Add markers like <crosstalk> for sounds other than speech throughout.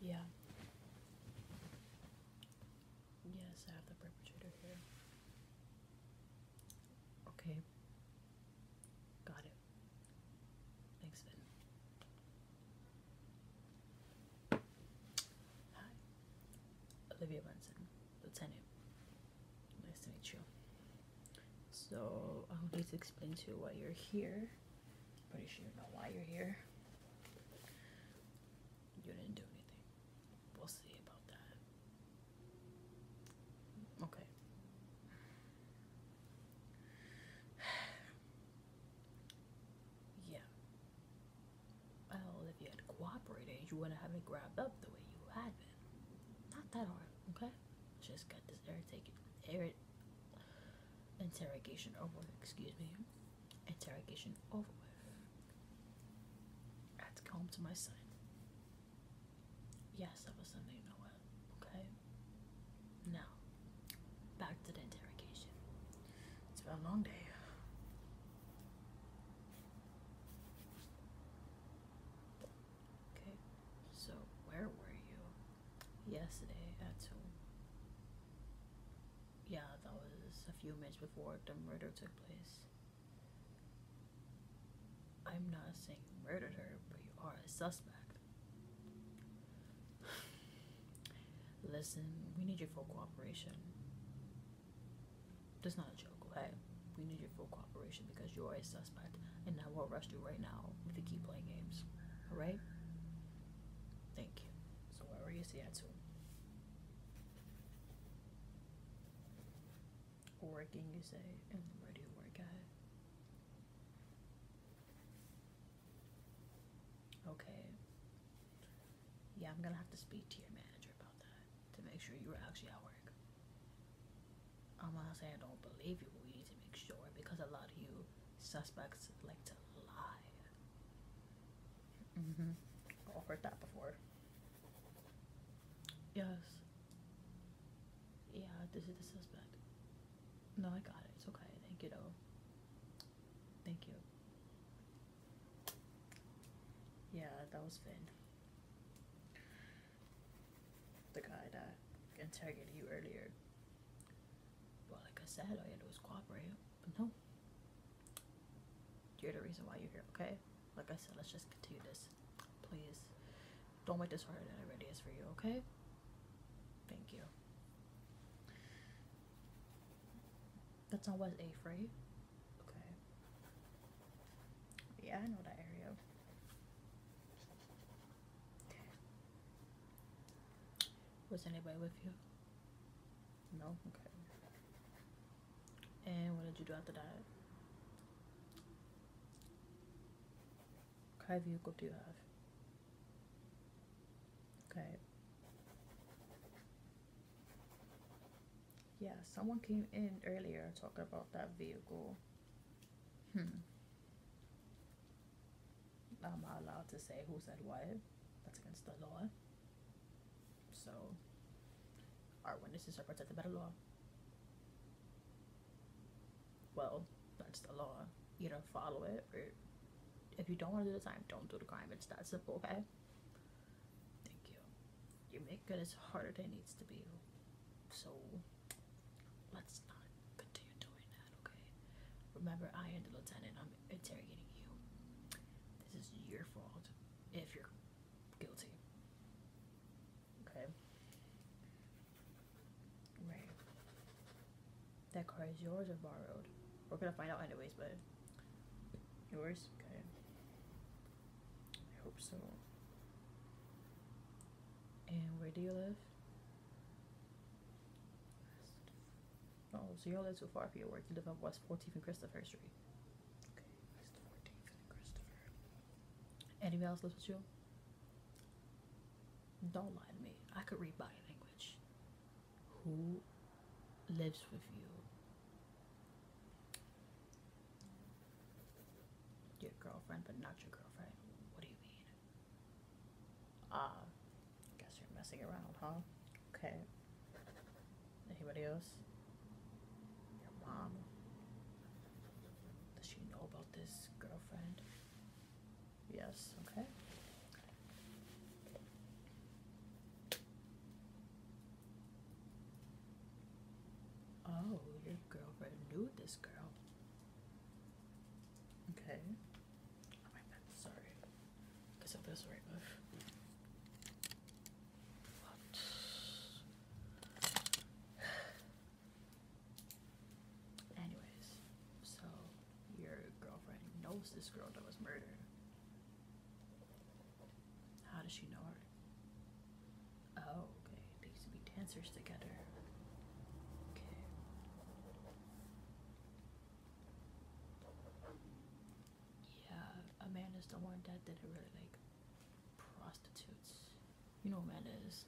Yeah. Yes, I have the perpetrator here. Okay. Got it. Thanks, Ben. Hi. Olivia Benson, Lieutenant. Nice to meet you. So, I will need to explain to you why you're here Pretty sure you know why you're here. You didn't do anything. We'll see about that. Okay. <sighs> yeah. Well, if you had cooperated, you wouldn't have been grabbed up the way you had been. Not that hard, okay? Just got this air irritated, interrogation over, excuse me, interrogation over with. I had to go to my side. Yes, that was Sunday, you know what? Okay. Now, back to the interrogation. It's been a long day. Okay, so where were you? yesterday at two. Yeah, that was a few minutes before the murder took place. I'm not saying you murdered her, but you are a suspect. <sighs> Listen, we need your full cooperation. That's not a joke, okay? We need your full cooperation because you are a suspect. And last night and I will to do right now if you keep playing games. Alright? Thank you. So where are you Seattle? Working, you say, and where do you work at? Okay. Yeah, I'm gonna have to speak to your manager about that to make sure you are actually at work. I'm not saying I don't believe you, we need to make sure because a lot of you suspects like to lie. Mm-hmm. I've heard that before. Yes. Yeah, this is the suspect. No, I got it. It's okay. Thank you, though. Thank you. Yeah, that was Finn the guy that interrogated you earlier. Well, like I said, all you had to do was cooperate, but no. You're the reason why you're here, okay? Like I said, let's just continue this. Please. Don't make this harder than it already is for you, okay? Thank you. That's on West 8th, right? Okay. Yeah, I know that area. Was anybody with you? No. Okay. And what did you do after that? What kind of vehicle do you have? Okay. Yeah, someone came in earlier talking about that vehicle. Hmm. Am I allowed to say who said what? That's against the law. So, our witnesses are protected by the law. Well, that's the law. You don't follow it or if you don't want to do the time, don't do the crime. It's that simple, okay? Thank you. You make it as hard as it needs to be. So let's not continue doing that, okay? Remember, I am the lieutenant. I'm interrogating you. This is your fault if you're guilty. Okay? Right. That car is yours or borrowed? We're gonna find out anyways, but yours? Okay. I hope so. And where do you live? Oh, so you're a little too far for your work. You live on West 14th and Christopher Street. Okay, West 14th and Christopher. Anyone else lives with you? Don't lie to me. I could read body language. Who lives with you? your girlfriend, but not your girlfriend. What do you mean? Ah, uh, guess you're messing around, huh? Okay. Anybody else? Your mom? Does she know about this girlfriend? Yes, okay. Oh, your girlfriend knew this girl. Okay. Oh my god, sorry. Because it feels right move. What? <sighs> Anyways, so your girlfriend knows this girl that was murdered. How does she know her? Oh, okay. They used to be dancers together. Okay. Yeah, Amanda's the one that didn't really like prostitutes. You know Amanda is.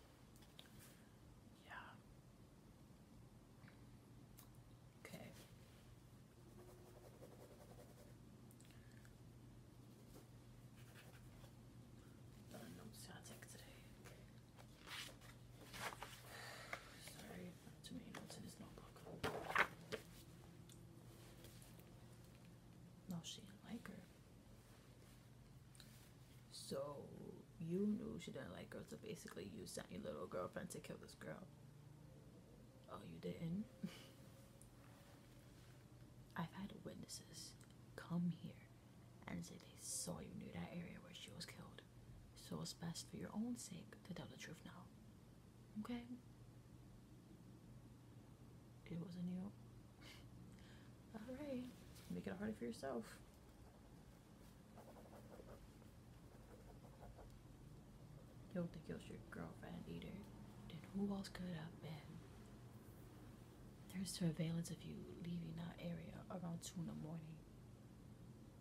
Yeah. Okay. No, she didn't like her. So you knew she didn't like her, so basically you sent your little girlfriend to kill this girl. Oh, you didn't? <laughs> I've had witnesses come here and say they saw you near that area where she was killed. So it's best for your own sake to tell the truth now. Okay? It wasn't you. <laughs> Alright, make it harder for yourself. You don't think it was your girlfriend either. Then who else could have been? There's surveillance of you leaving our area around 2 in the morning.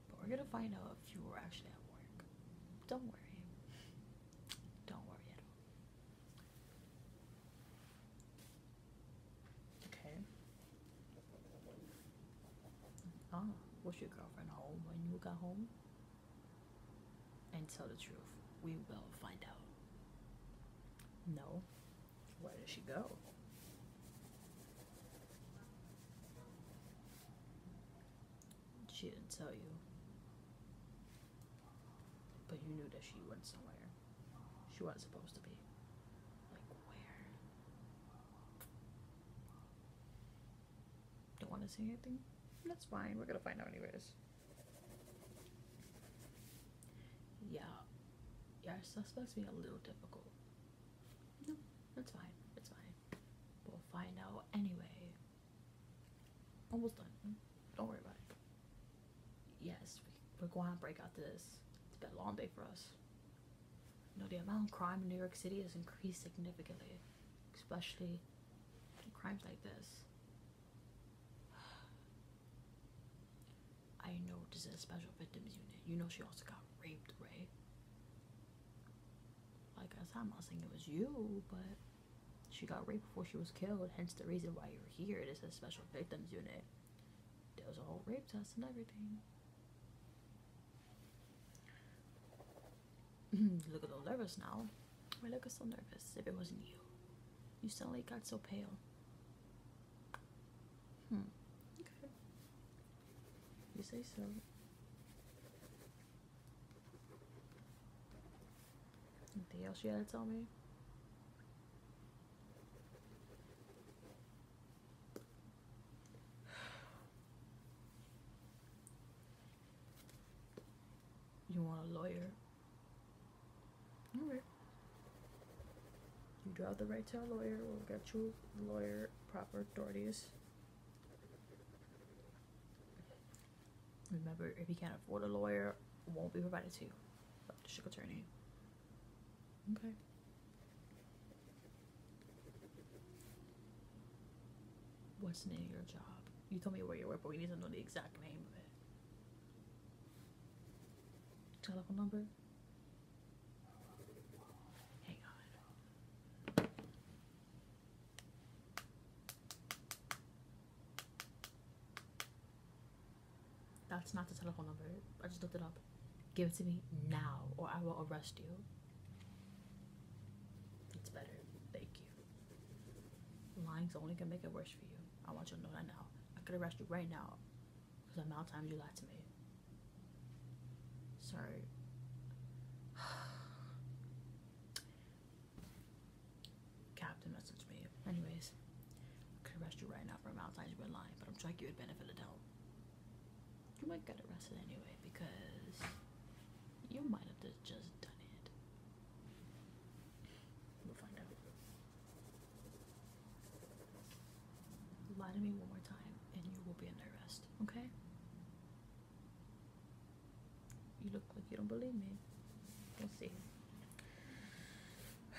But we're gonna find out if you were actually at work. Don't worry. Don't worry at all. Okay. Ah, was your girlfriend home when you got home? And tell the truth, we will find out. No. Where did she go? She didn't tell you. But you knew that she went somewhere. She wasn't supposed to be. Like, where? Don't want to say anything? That's fine. We're going to find out, anyways. Yeah, yeah, suspects be a little difficult. No, that's fine. It's fine. We'll find out anyway. Almost done. Don't worry about it. Yes, we, are going to break out this. It's been a long day for us. You know, the amount of crime in New York City has increased significantly, especially crimes like this. I know this is a special victims unit. You know she also got raped, right? Like I said, I'm not saying it was you, but she got raped before she was killed, hence the reason why you're here. It is a special victims unit. There was a whole rape test and everything. <clears throat> Look at those nervous now. Why look so nervous if it wasn't you? You suddenly got so pale. Hmm. Okay. You say so. Anything else you gotta tell me? <sighs> You want a lawyer? Okay. You do have the right to a lawyer. We'll get you lawyer proper authorities. Remember, if you can't afford a lawyer, won't be provided to you. But district attorney. Okay. What's the name of your job? You told me where you work, but we need to know the exact name of it. Telephone number. Hang on. That's not the telephone number. I just looked it up. Give it to me now, or I will arrest you. It's better. Thank you. Lying's only gonna make it worse for you. I want you to know that now. I could arrest you right now because the amount of times you lied to me. Sorry. <sighs> Captain messaged me. Anyways, I could arrest you right now for the amount of times you've been lying, but I'm sure you would benefit a the You might get arrested anyway because you might have just done it. Lie to me one more time and you will be under arrest, okay? You look like you don't believe me. We'll see.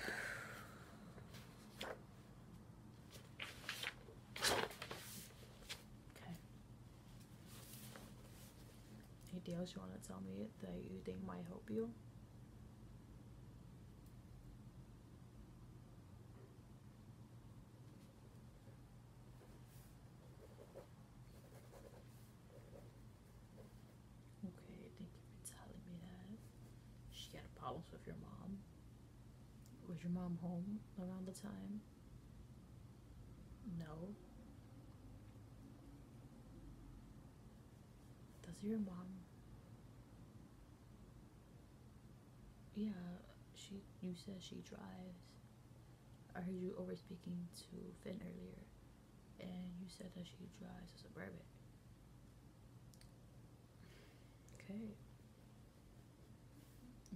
<sighs> Okay. Anything else you want to tell me that you think might help you? Okay, thank you for telling me that. She had problems with your mom. Was your mom home around the time? No. Does your mom? Yeah, she. You said she drives. I heard you over speaking to Finn earlier, and you said that she drives a suburban. Okay.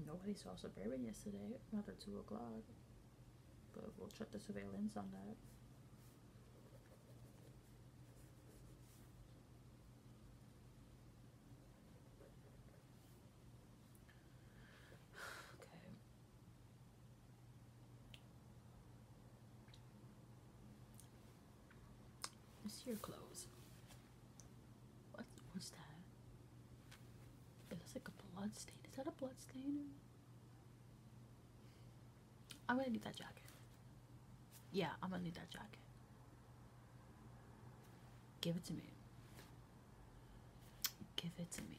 Nobody saw suburban yesterday after two o'clock but we'll check the surveillance on that. <sighs> okay. This your clothes. What was that? It looks like a blood stain. Is that a blood stain? I'm gonna need that jacket. Yeah, I'm gonna need that jacket. Give it to me. Give it to me.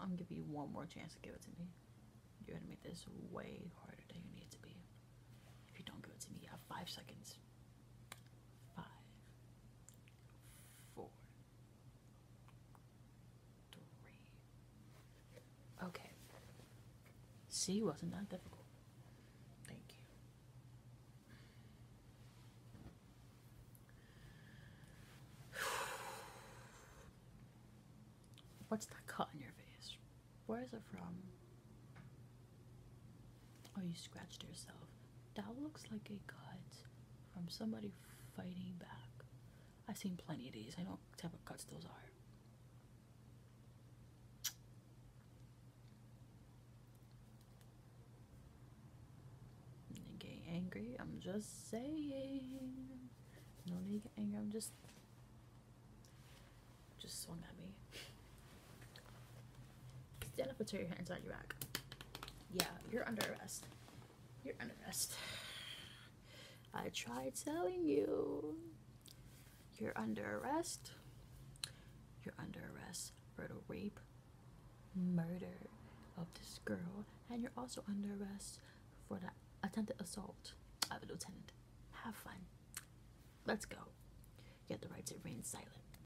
I'm gonna give you one more chance to give it to me. You're gonna make this way harder than you need to be. If you don't give it to me, you have five seconds. Five, four, three. Okay. C wasn't that difficult. Thank you. <sighs> What's that cut in your face? Where is it from? or oh, you scratched yourself. That looks like a cut from somebody fighting back. I've seen plenty of these. I know what type of cuts those are. Don't get angry. I'm just saying. No need to get angry. I'm just. Just swung at me. Stand up and put your hands on your back. Yeah, you're under arrest. You're under arrest. I tried telling you. You're under arrest. You're under arrest for the rape, murder of this girl, and you're also under arrest for the attempted assault of a lieutenant. Have fun. Let's go. You have the right to remain silent.